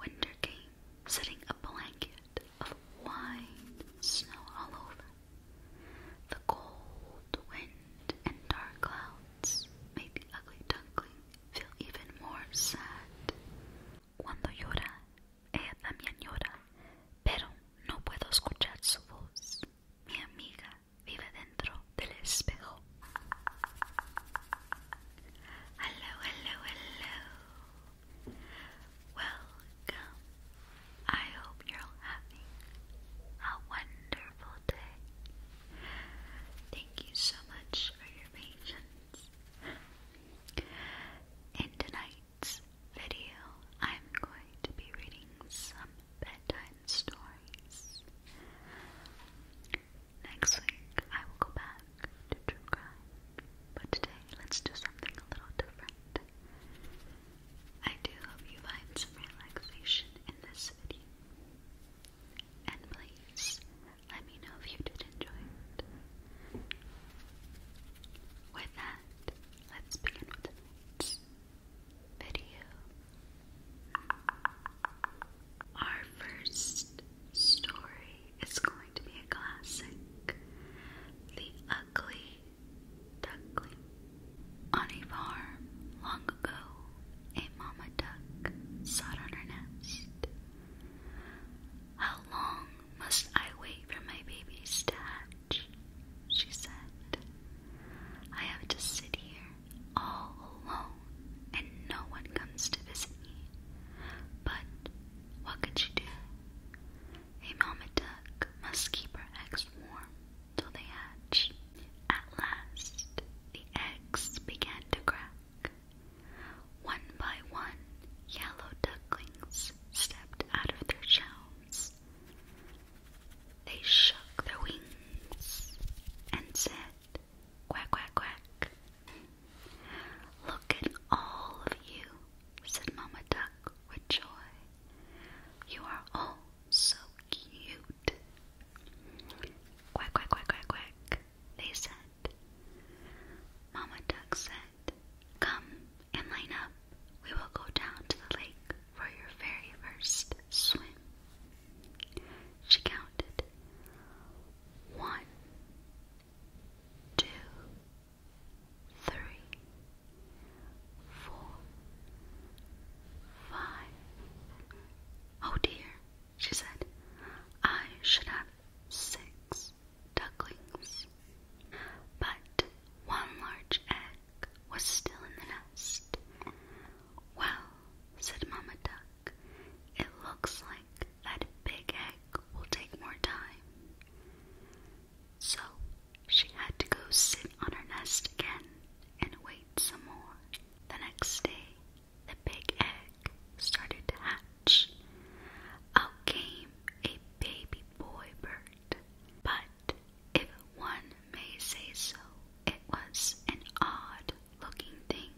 Winter came, setting a blanket of wine snow all over. The cold wind and dark clouds made the ugly duckling feel even more sad. Cuando llora, ella también llora, pero no puedo escuchar su voz. Mi amiga vive dentro del espejo. Hello, hello, hello. Welcome. I hope you're having a wonderful day. Thank you so much for your patience. In tonight's video, I'm going to be reading some bedtime stories. Next week, I will go back to true but today, let's do something a little different. I do hope you find some relaxation in this video. And please, let me know if you did enjoy it. With that, let's begin with tonight's video. Our first story It's going to be a classic. The Ugly Duckling. On a farm long ago, a mama duck sat on her nest. How long must I wait for my babies to hatch? She said. I have to sit here all alone and no one comes to visit me. But what could she do? A mama duck must keep her eggs warm till they hatch. At last, the eggs began to crack. One by one, yellow ducklings stepped out of their shells. They shook their wings and said, Quack, quack, quack. Look at all of you, said Mama Duck with joy. You are all so cute. Quack, quack, quack, quack, quack, they said. Mamma Duck said, Come and line up. We will go down to the lake for your very first swim. She counted. One, two, three, four, five. Oh dear, she said, I should have six ducklings. But one large egg was still in the nest. Well, said Mamma Duck, it looks like that big egg will take more time. So she had to go sit on her nest again and wait some more. The next day, the big egg started to hatch. Out came a baby boy bird. But if one may say so, it was an odd looking thing.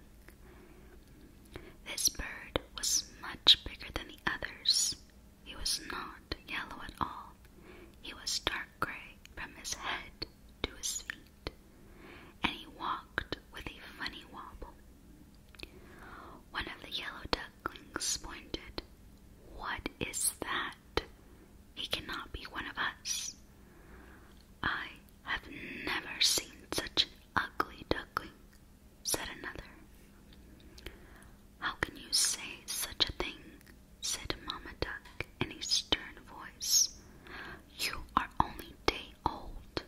This bird was much bigger than the others. He was not yellow at all. He was dark gray from his head to his feet, and he walked with a funny wobble. One of the yellow ducklings pointed. What is that? He cannot be one of us. I have never seen such an ugly duckling, said another. How can you say such a thing? said Mamma Duck in a stern voice. You are only day old.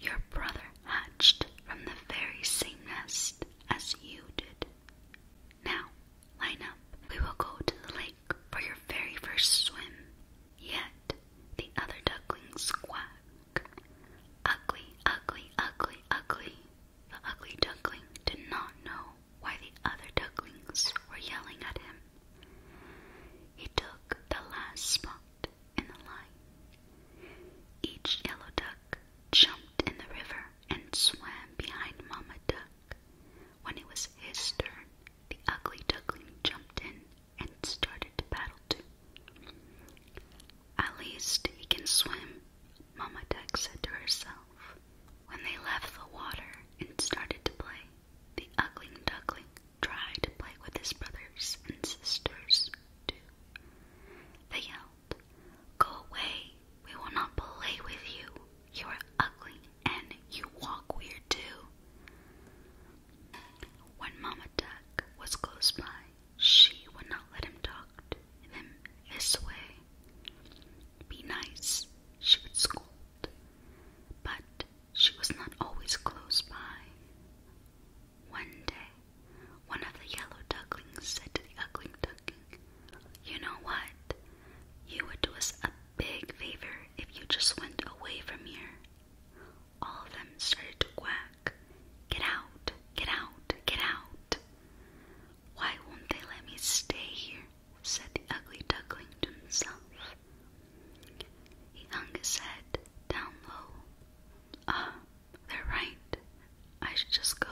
Your brother hatched from the very same nest as you did. Now, line up. We will go to the lake for your very first swim. Yet the other ducklings quack. Ugly, ugly, ugly, ugly. The ugly duckling did not know why the other ducklings were yelling at him. He took the last spot in the line. Each yellow duck jumped in the river and swam behind Mama Duck. When it was his turn, the ugly duckling jumped in and started to paddle too. At least he can swim, Mama Duck said to herself. When they left the water and started to play, the ugly duckling tried to play with his brothers and sisters too. They yelled, Go away, we will not play with you. You are ugly and you walk weird too. When Mama Duck was close by, she would not let him talk to them this way. Be nice, she would scold, but she was not always close by. One day, one of the yellow ducklings said to the ugly duckling, You know what? You would do us a big favor if you just went away from here all of them started to quack. Get out, get out, get out. Why won't they let me stay here? said the ugly duckling to himself. He hung his head down low. Ah, they're right. I should just go.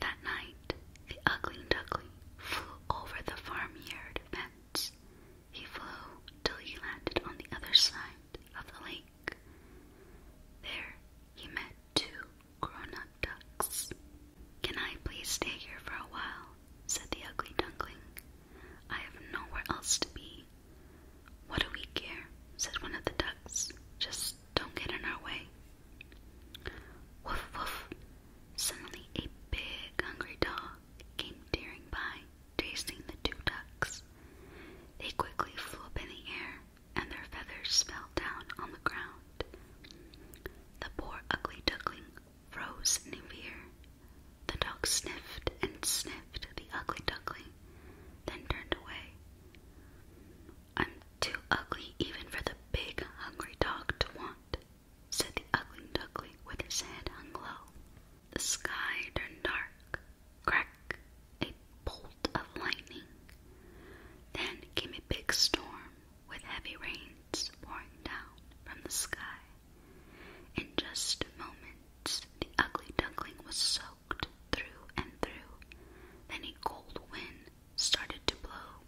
That night, the ugly duckling flew over the farmyard fence he flew till he landed on the other side of the lake. There he met two grown-up ducks. Can I please stay here for a while? said the ugly duckling. I have nowhere else to be. What do we care? said one of the ducks. Just don't get in our way. Woof woof! Suddenly a big hungry dog dog came tearing by, chasing the two ducks. They quickly flew up in the air, and their feathers spilled down on the ground. The poor ugly duckling froze in fear. The dog sniffed and sniffed the ugly duckling, then turned away. I'm too ugly even for the big, hungry dog to want, said the ugly duckling with his head hung low. The sky turned dark. Crack! A bolt of lightning. Then came a big storm with heavy rains pouring down from the sky. In just moments, the ugly duckling was soaked through and through. Then a cold wind started to blow.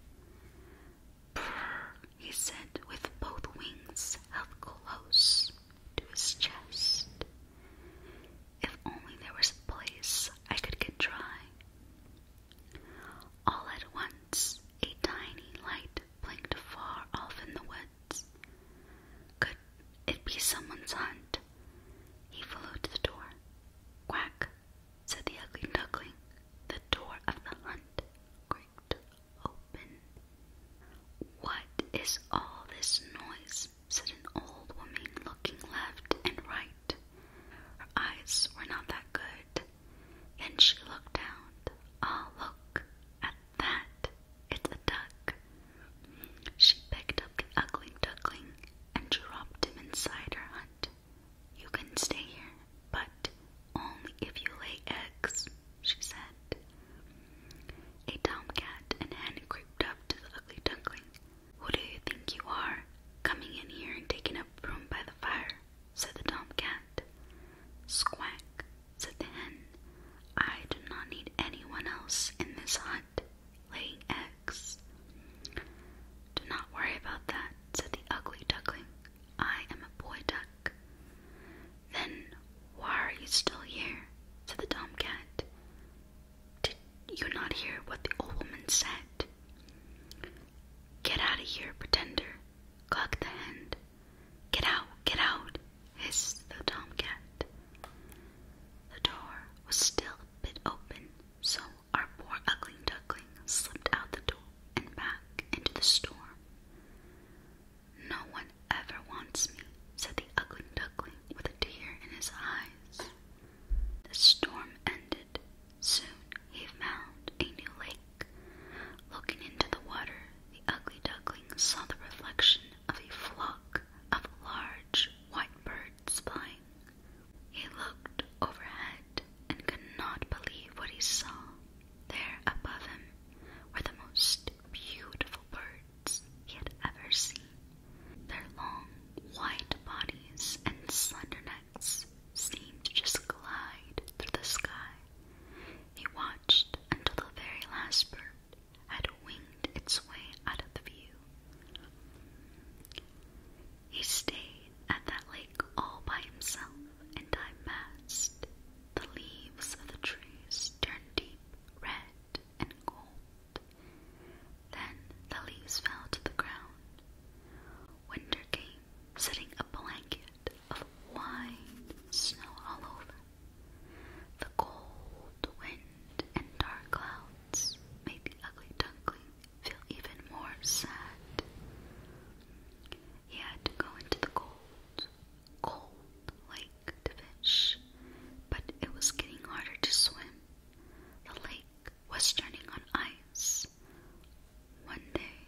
Brrr, he said, with both wings held close to his chest. If only there was a place I could get dry. All at once, a tiny light blinked far off in the woods. Could it be someone's hunt? He flew the door. Quack, said the ugly duckling. The door of the hunt creaked open. What is all this noise? said an old woman, looking left and right. Her eyes were not that good. Then she looked down. Ah, oh, look at that! It's a duck. She picked up the ugly duckling and dropped him inside her hut. You can stay here but only if you lay eggs, she said. A tomcat and hen crept up to the ugly duckling. Who do you think you are, coming in here and taking up room by the fire? said the tomcat. Squack, said the hen. I do not need anyone else in this hut laying eggs. Do not worry about that, said the ugly duckling. I am a boy duck. Then why are you still here? said the dumb cat. Did you not hear what the old woman said? Get out of here, pretender, clucked the hen. Get out, get out, hissed the dumb cat. The door was still a bit open, so our poor ugly duckling slipped out the door and back into the storm. No one ever wants me, said the ugly duckling with a tear in his eyes. The storm ended. Soon he found a new lake. Looking into the water, the ugly duckling saw the reflection of a flock of large white birds flying. He looked overhead and could not believe what he saw. There above him were the most beautiful birds he had ever seen. Their long, white bodies and slender necks seemed to just glide through the sky. He watched until the very last bird had winged its way out of the view. He stayed at that lake all by himself, and I passed. The leaves of the trees turned deep red and gold. Then the leaves fell to the ground. Winter came, setting a blanket of wine snow all over. The cold wind and dark clouds made the ugly duckling feel even more sad. He had to go into the cold, cold lake to fish, but it was getting harder to swim. The lake was turning on ice. One day,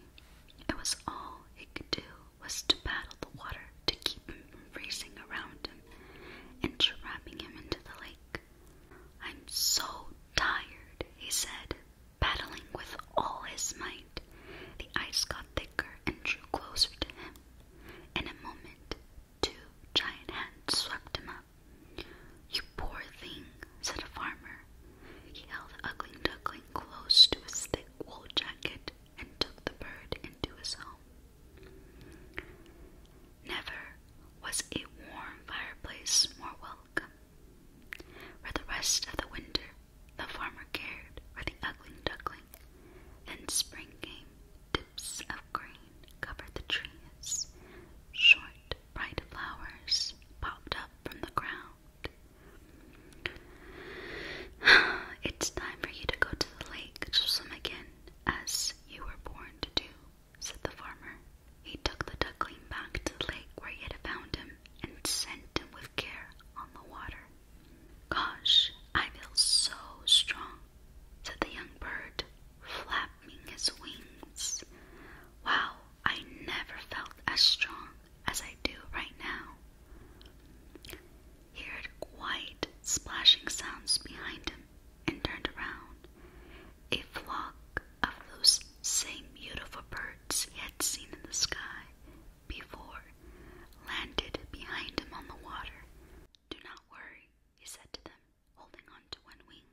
it was all he could do was to paddle the water to keep him from freezing around and trapping him into the lake. I'm so tired, he said, Battling with all his might, the ice got thicker and drew closer to him. In a moment, two giant hands swept him up. You poor thing, said a farmer. He held the ugly duckling close to his thick wool jacket and took the bird into his home. Never was a warm fireplace more welcome for the rest of the winter, the farmer cared for the ugly duckling. Then spring came, dips of green covered the trees, short, bright flowers popped up from the ground. it's time for you to go to the lake to swim again, as you were born to do, said the farmer. He took the duckling back to the lake where he had found him and sent him with care on the water. Gosh, I feel so strong, said the young bird, flapping his wings. Wow, I never felt as strong as I do right now. He heard quite splashing sounds behind him and turned around. A flock of those same beautiful birds he had seen in the sky before landed behind him on the water. Do not worry, he said to them, holding on to one wing.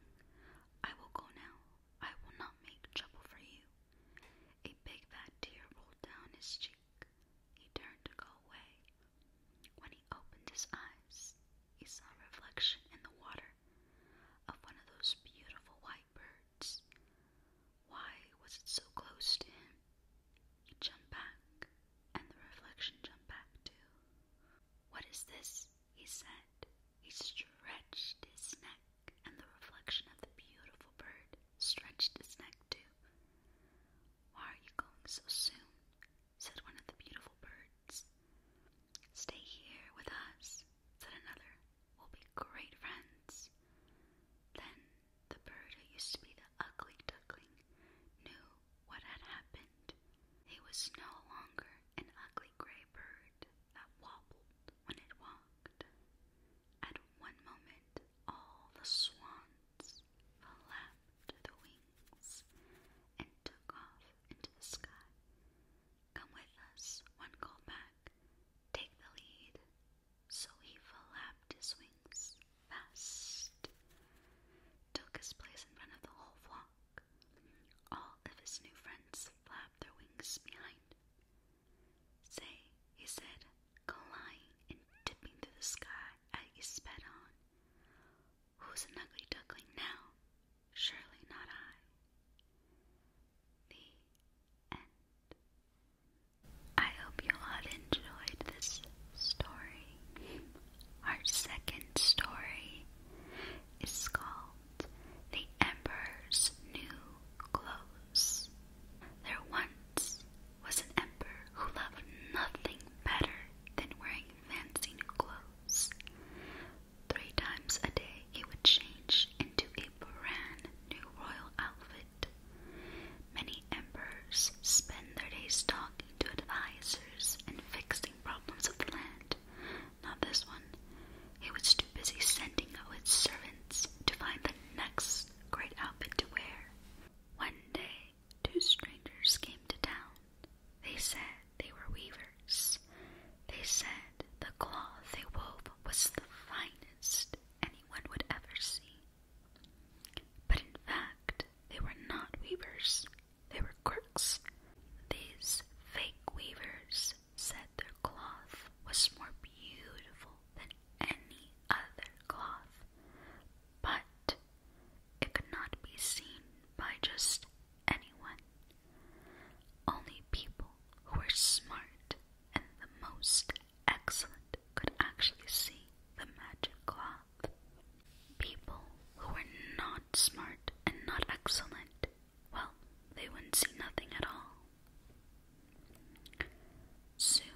I will go now. I will not make trouble for you. A big fat tear rolled down his cheek. He turned to go away. When he opened his eyes, he saw a reflection in the water of one of those beautiful white birds. Why was it so close to him? Jump back, and the reflection jumped back too. What is this? he said. He stretched his neck, and the reflection of the beautiful bird stretched his neck too. Why are you going so soon? said one of the beautiful birds. Stay here with us, said another will be great friends. Then the bird who used to be the ugly duckling knew what had happened. He was no longer an ugly gray bird that wobbled when it walked. At one moment, all the swans flapped their wings and took off into the sky. Come with us, one called back. Take the lead. So he flapped his wings fast, took his place in front of the whole flock. All of his new friends flapped their wings behind. Say, he said, gliding and dipping through the sky as he sped on. Who's an ugly duckling now? Surely not I. The I hope you all enjoyed this story. Our second story is called The Emperor's New Clothes. There once was an emperor who loved nothing better than wearing fancy new clothes. Three times a day he would change into a brand new royal outfit. Many emperors spend their days talking to advisors and fixing problems of the land. Not this one. He was too busy sending out his servants to find the next great outfit to wear. One day, two strangers came to town. They said they were weavers. They said the cloth they wove was the finest anyone would ever see. But in fact, they were not weavers, they were crooks. These fake weavers said their cloth was more beautiful than any other cloth, but it could not be seen by just anyone. Only people who were smart and the most excellent could actually see the magic cloth. People who were not smart and not excellent, well, they wouldn't see nothing at all. Soon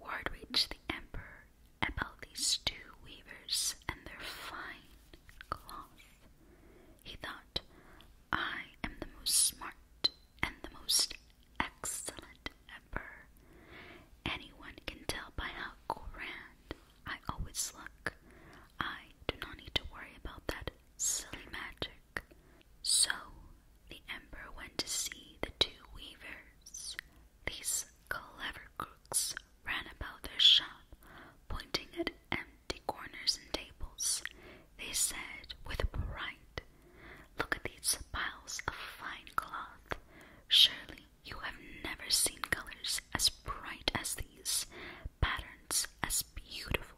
word reached the emperor about these two weavers and their fine cloth. He thought, I am the most smart and the most excellent ever. Anyone can tell by how grand I always look. I do not need to worry about that silly magic. So the emperor went to see the two weavers. These clever crooks ran about their shop, pointing at empty corners and tables they said with pride, Look at these piles of fine cloth. Surely you have never seen colors as bright as these, patterns as beautiful.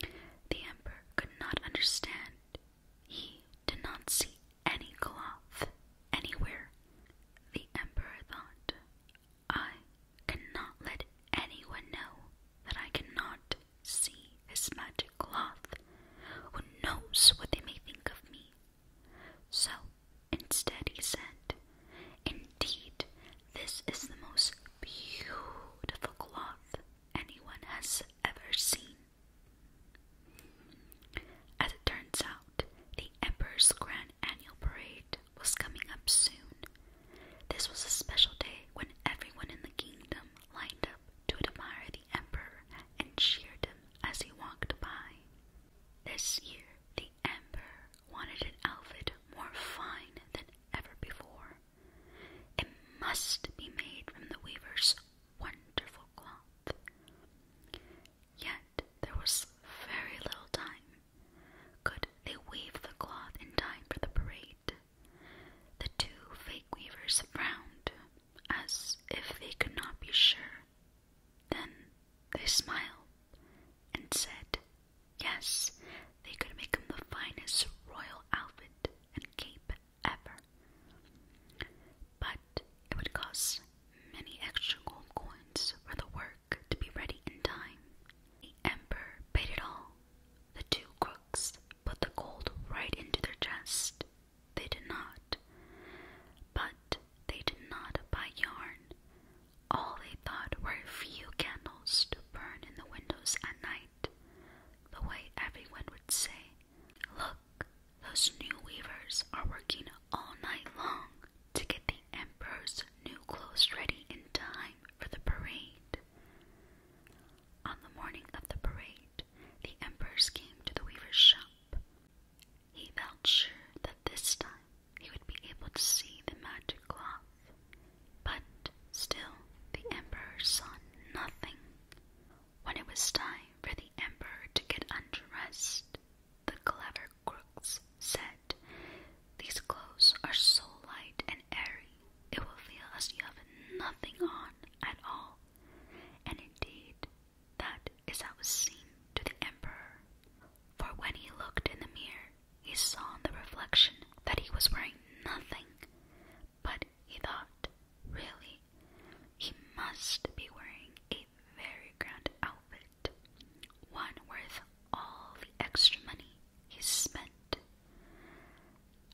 The emperor could not understand. He did not see any cloth anywhere. The emperor thought, I cannot let anyone know that I cannot see his magic cloth. Who knows what they may think of me? So instead he said, Indeed, this is the most beautiful cloth anyone has ever seen. As it turns out, the Emperor's Grand Annual Parade was coming up soon. This was a special day when everyone in the kingdom lined up to admire the emperor and cheered him as he walked by. This year, the emperor wanted an outfit more fine than ever before. It must be made from the weaver's wonderful cloth. Yet there was very little time could they weave the cloth in time for the parade? The two fake weavers frowned, as if they could not be sure. Then they smiled and said, Yes, they could make him the finest royal outfit and cape ever. But it would cost many extra gold coins for the work to be ready in time. The emperor paid it all the two crooks put the gold right into their chest. They did not. But they did not buy yarn. All they thought were a few candles to burn in the windows at night, the way everyone would say, Look, those new weavers are working all night long to get the emperor's new clothes ready in time for the parade. On the morning of the parade, the emperors came to the weaver's shop. He felt sure that this time he would be able to see the magic cloth, but still the emperor saw nothing. When it was time for the emperor to get undressed, the clever crooks said, These clothes are so light and airy it will feel as you have nothing on at all. And indeed, that is how it seemed to the emperor. For when he looked in the mirror, he saw the reflection that he was wearing nothing. But he thought, really, he must be wearing a very grand outfit, one worth all the extra money he spent.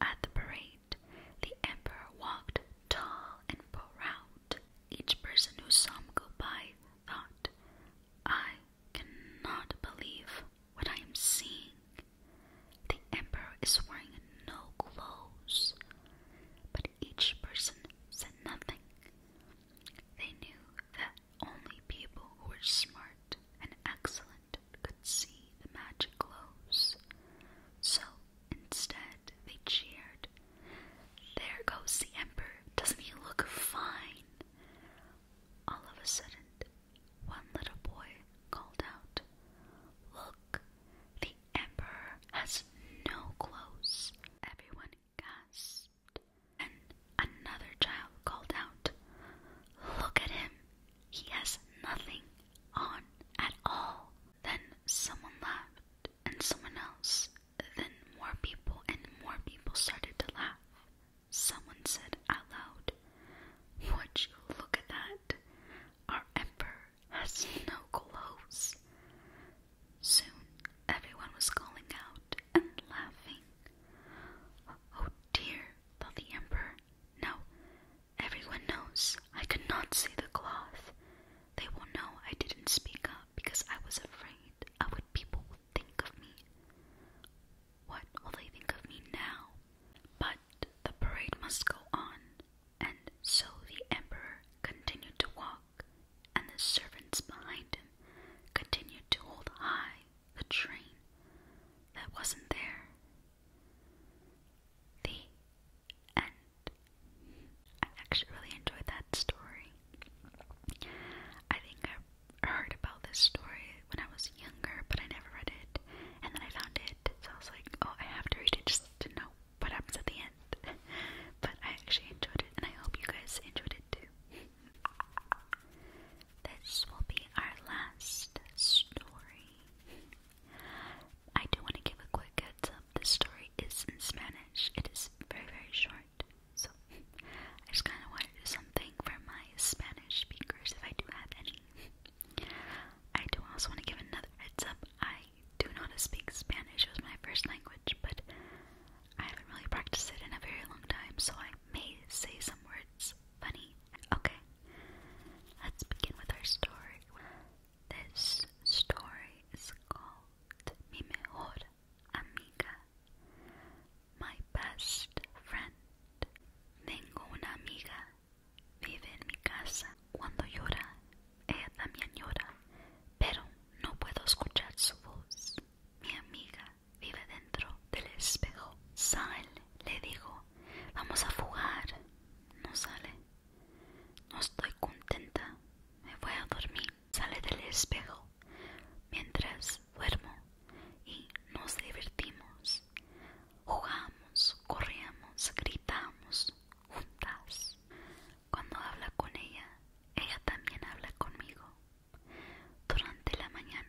At the parade, the emperor walked tall and proud. Each person who saw him go by thought, I cannot believe what I am seeing. The emperor is wearing no clothes. But each person said nothing. They knew that only people who were smart and excellent could see the magic glows. So instead, they cheered. There goes the Emperor! Doesn't he look fine? All of a sudden, one little boy called out, Look, the Emperor has no clothes. Everyone gasped. And another child called out, Look at him! He has nothing on at all. Then someone laughed, and someone else. Then more people and more people started to laugh. Someone said out loud, Would you look at that? Our emperor has no clothes. Soon everyone was calling out and laughing. Oh dear, thought the emperor. No, everyone knows. I could not see the cloth. They will know I didn't speak up because I was afraid of what people would think of me. What will they think of me now? But the parade must go on, and so the emperor continued to walk, and the servants behind him continued to hold high the train that wasn't there. The end. I actually really enjoyed that story. I think I heard about this story when I was younger, but I never read it. And then I found it, so I was like, oh, I have to read it just to know what happens at the end. but I actually enjoyed it, and I hope you guys enjoyed it too. This will be our last story. I do want to give a quick heads up. This story is in Spanish. It is very, very short. So I just kind of want to do something for my Spanish speakers if I do have any. I do also want to give another heads up. I do not speak Spanish. It was my first language, but I haven't really practiced it in a very long time, so I may say some words words funny? Okay, let's begin with our story. This story is called Mi Mejor Amiga, my best friend. Tengo una amiga, vive en mi casa. Cuando llora, ella también llora, pero no puedo escuchar su voz. Mi amiga vive dentro del espejo. sale le digo, vamos a fugar. No sale. No estoy contenta. Me voy a dormir. Sale del espejo mientras duermo y nos divertimos. Jugamos, corríamos, gritamos juntas. Cuando habla con ella, ella también habla conmigo. Durante la mañana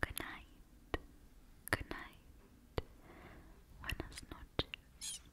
Good night. Good night. Buenas noches.